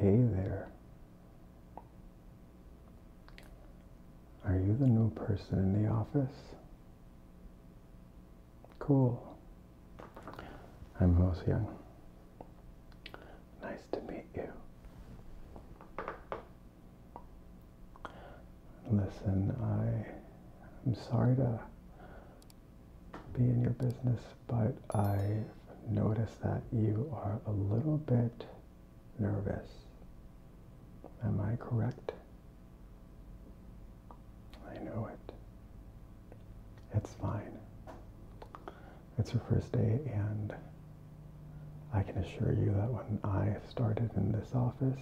Hey there. Are you the new person in the office? Cool. I'm Hose Young. Nice to meet you. Listen, I am sorry to be in your business, but I've noticed that you are a little bit nervous. Am I correct? I know it. It's fine. It's your first day, and I can assure you that when I started in this office,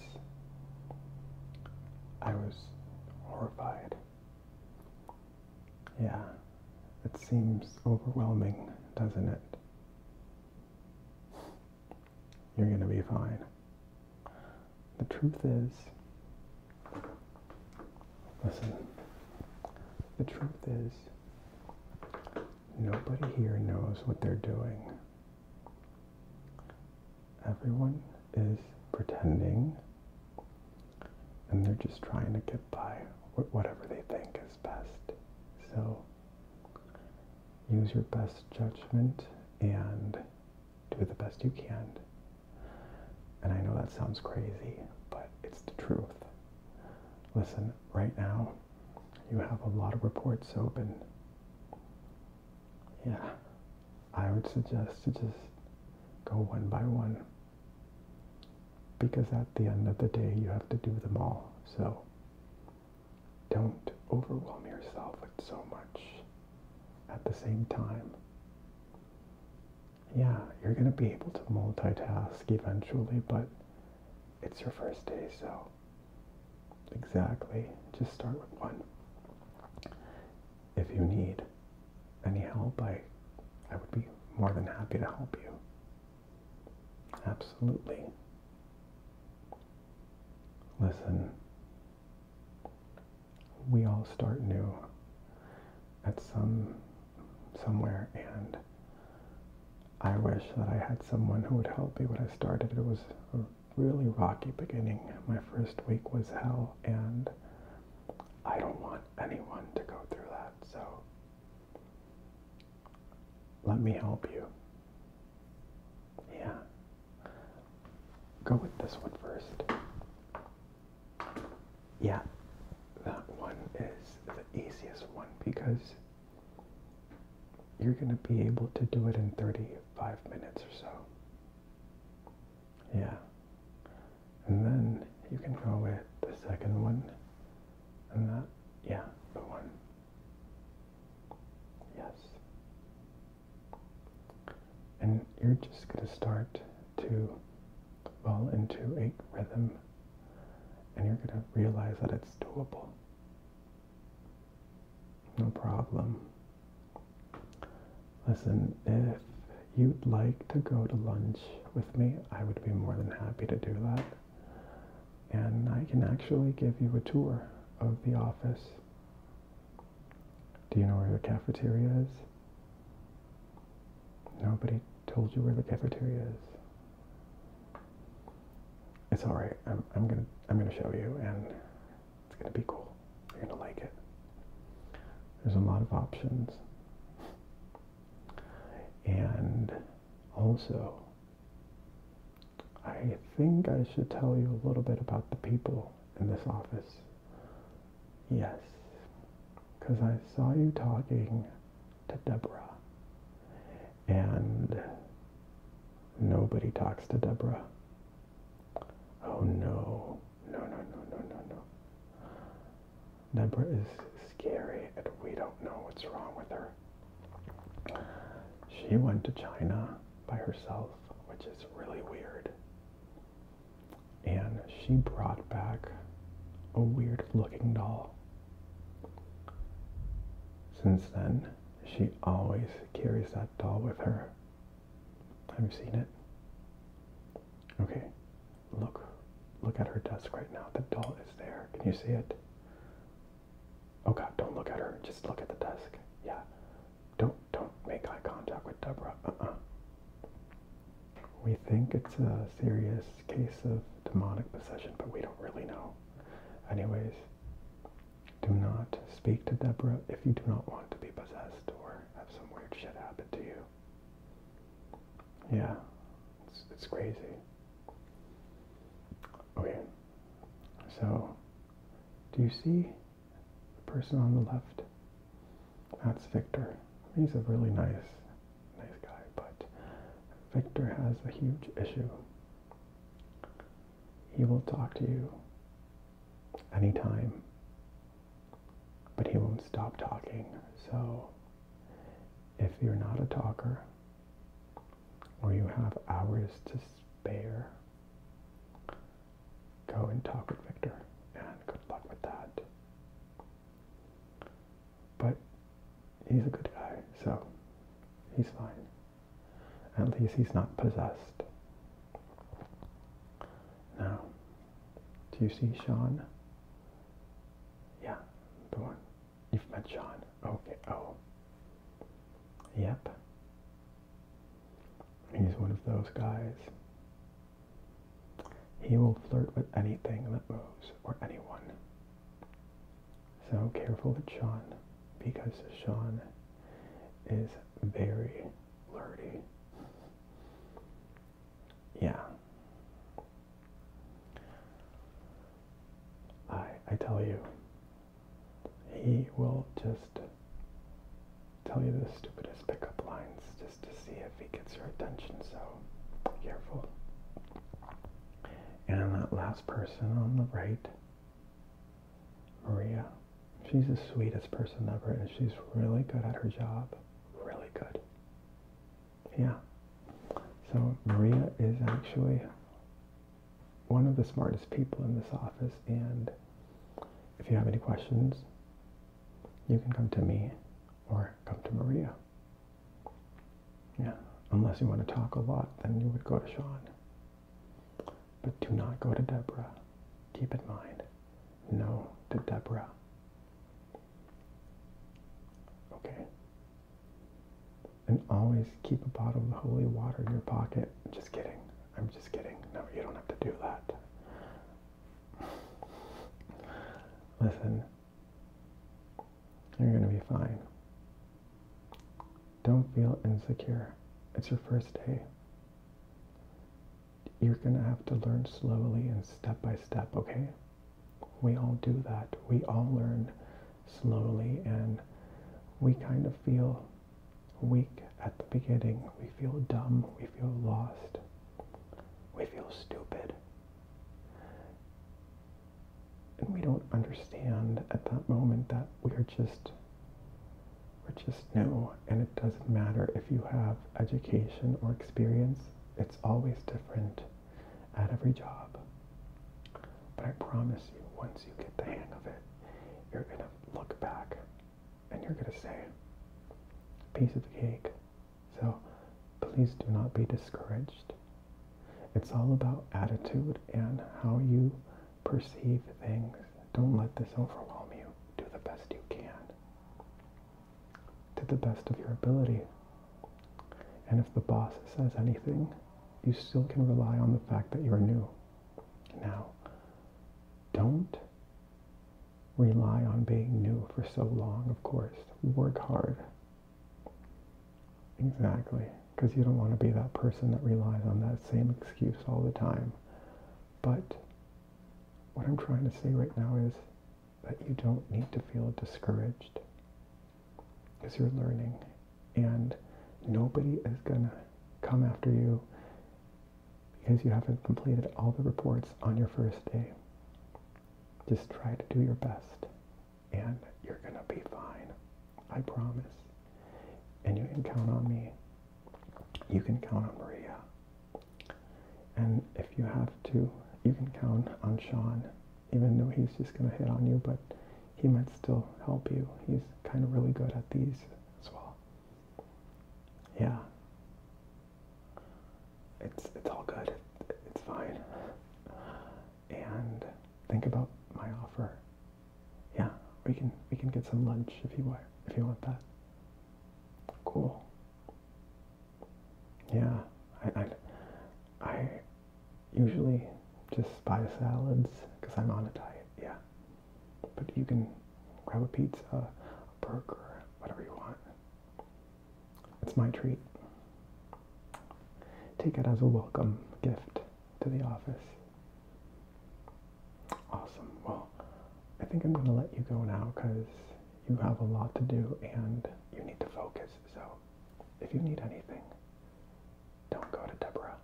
I was horrified. Yeah, it seems overwhelming, doesn't it? You're going to be fine. The truth is, listen, the truth is, Nobody here knows what they're doing. Everyone is pretending and they're just trying to get by with whatever they think is best. So use your best judgment and do the best you can. And I know that sounds crazy, but it's the truth. Listen right now. You have a lot of reports open. Yeah, I would suggest to just go one by one because at the end of the day, you have to do them all. So don't overwhelm yourself with so much at the same time yeah, you're going to be able to multitask eventually, but it's your first day, so exactly. Just start with one. If you need any help, I, I would be more than happy to help you. Absolutely. Listen, we all start new at some somewhere and I wish that I had someone who would help me when I started. It was a really rocky beginning. My first week was hell and I don't want anyone to go through that. So let me help you. Yeah. Go with this one first. Yeah, that one is the easiest one because you're going to be able to do it in 35 minutes or so. Yeah. And then you can go with the second one and that, yeah, the one. Yes. And you're just going to start to Fall into a rhythm and you're going to realize that it's doable. No problem. Listen, if you'd like to go to lunch with me, I would be more than happy to do that. And I can actually give you a tour of the office. Do you know where the cafeteria is? Nobody told you where the cafeteria is. It's all right. I'm, I'm gonna I'm gonna show you, and it's gonna be cool. You're gonna like it. There's a lot of options, and also, I think I should tell you a little bit about the people in this office. Yes, because I saw you talking to Deborah. And nobody talks to Deborah. Oh no, no, no, no, no, no, no. Deborah is scary and we don't know what's wrong with her. She went to China by herself, which is really weird and she brought back a weird looking doll. Since then, she always carries that doll with her. Have you seen it? Okay, look. Look at her desk right now. The doll is there. Can you see it? Oh god, don't look at her. Just look at the desk. Yeah don't don't make eye contact with Deborah. Uh-uh. We think it's a serious case of demonic possession, but we don't really know. Anyways, do not speak to Deborah if you do not want to be possessed or have some weird shit happen to you. Yeah, it's, it's crazy. Okay, so do you see the person on the left, that's Victor. He's a really nice, nice guy, but Victor has a huge issue. He will talk to you anytime, but he won't stop talking. So if you're not a talker, or you have hours to spare, Go and talk with Victor, and good luck with that. But he's a good guy, so he's fine. At least he's not possessed. Now, do you see Sean? Yeah, the one. You've met Sean. Okay, oh. Yep. He's one of those guys. He will flirt with anything that moves or anyone. So careful with Sean because Sean is very flirty. Yeah. I I tell you, he will just tell you the stupidest pickup lines just to see if he gets your attention. So careful. And that last person on the right, Maria, she's the sweetest person ever, and she's really good at her job. Really good. Yeah. So Maria is actually one of the smartest people in this office. And if you have any questions, you can come to me or come to Maria. Yeah, unless you want to talk a lot, then you would go to Sean. But do not go to Deborah. Keep in mind, no to Deborah. Okay. And always keep a bottle of holy water in your pocket. Just kidding. I'm just kidding. No, you don't have to do that. Listen, you're going to be fine. Don't feel insecure. It's your first day. You're going to have to learn slowly and step by step, okay? We all do that. We all learn slowly and we kind of feel weak at the beginning. We feel dumb. We feel lost. We feel stupid. And we don't understand at that moment that we are just we're just new and it doesn't matter if you have education or experience. It's always different at every job. But I promise you, once you get the hang of it, you're going to look back and you're going to say, piece of cake. So please do not be discouraged. It's all about attitude and how you perceive things. Don't let this overwhelm you. Do the best you can to the best of your ability. And if the boss says anything, you still can rely on the fact that you're new. Now, don't rely on being new for so long, of course. Work hard. Exactly. Because you don't want to be that person that relies on that same excuse all the time. But what I'm trying to say right now is but you don't need to feel discouraged because you're learning and nobody is going to come after you because you haven't completed all the reports on your first day. Just try to do your best and you're going to be fine. I promise. And you can count on me. You can count on Maria. And if you have to, you can count on Sean, even though he's just going to hit on you, but he might still help you. He's kind of really good at these as well. Yeah. It's, it's all good. it's fine. And think about my offer. Yeah, we can we can get some lunch if you want if you want that. Cool yeah, I, I, usually just buy salads because I'm on a diet, yeah. But you can grab a pizza, a burger, whatever you want. It's my treat. Take it as a welcome gift to the office. Awesome. Well, I think I'm going to let you go now because you have a lot to do and you need to focus. So if you need anything, don't go to Deborah.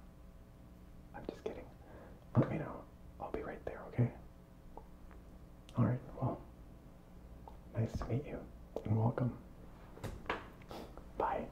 I'm just kidding. Let me know. I'll be right there, okay? Alright, well, nice to meet you and welcome. Bye.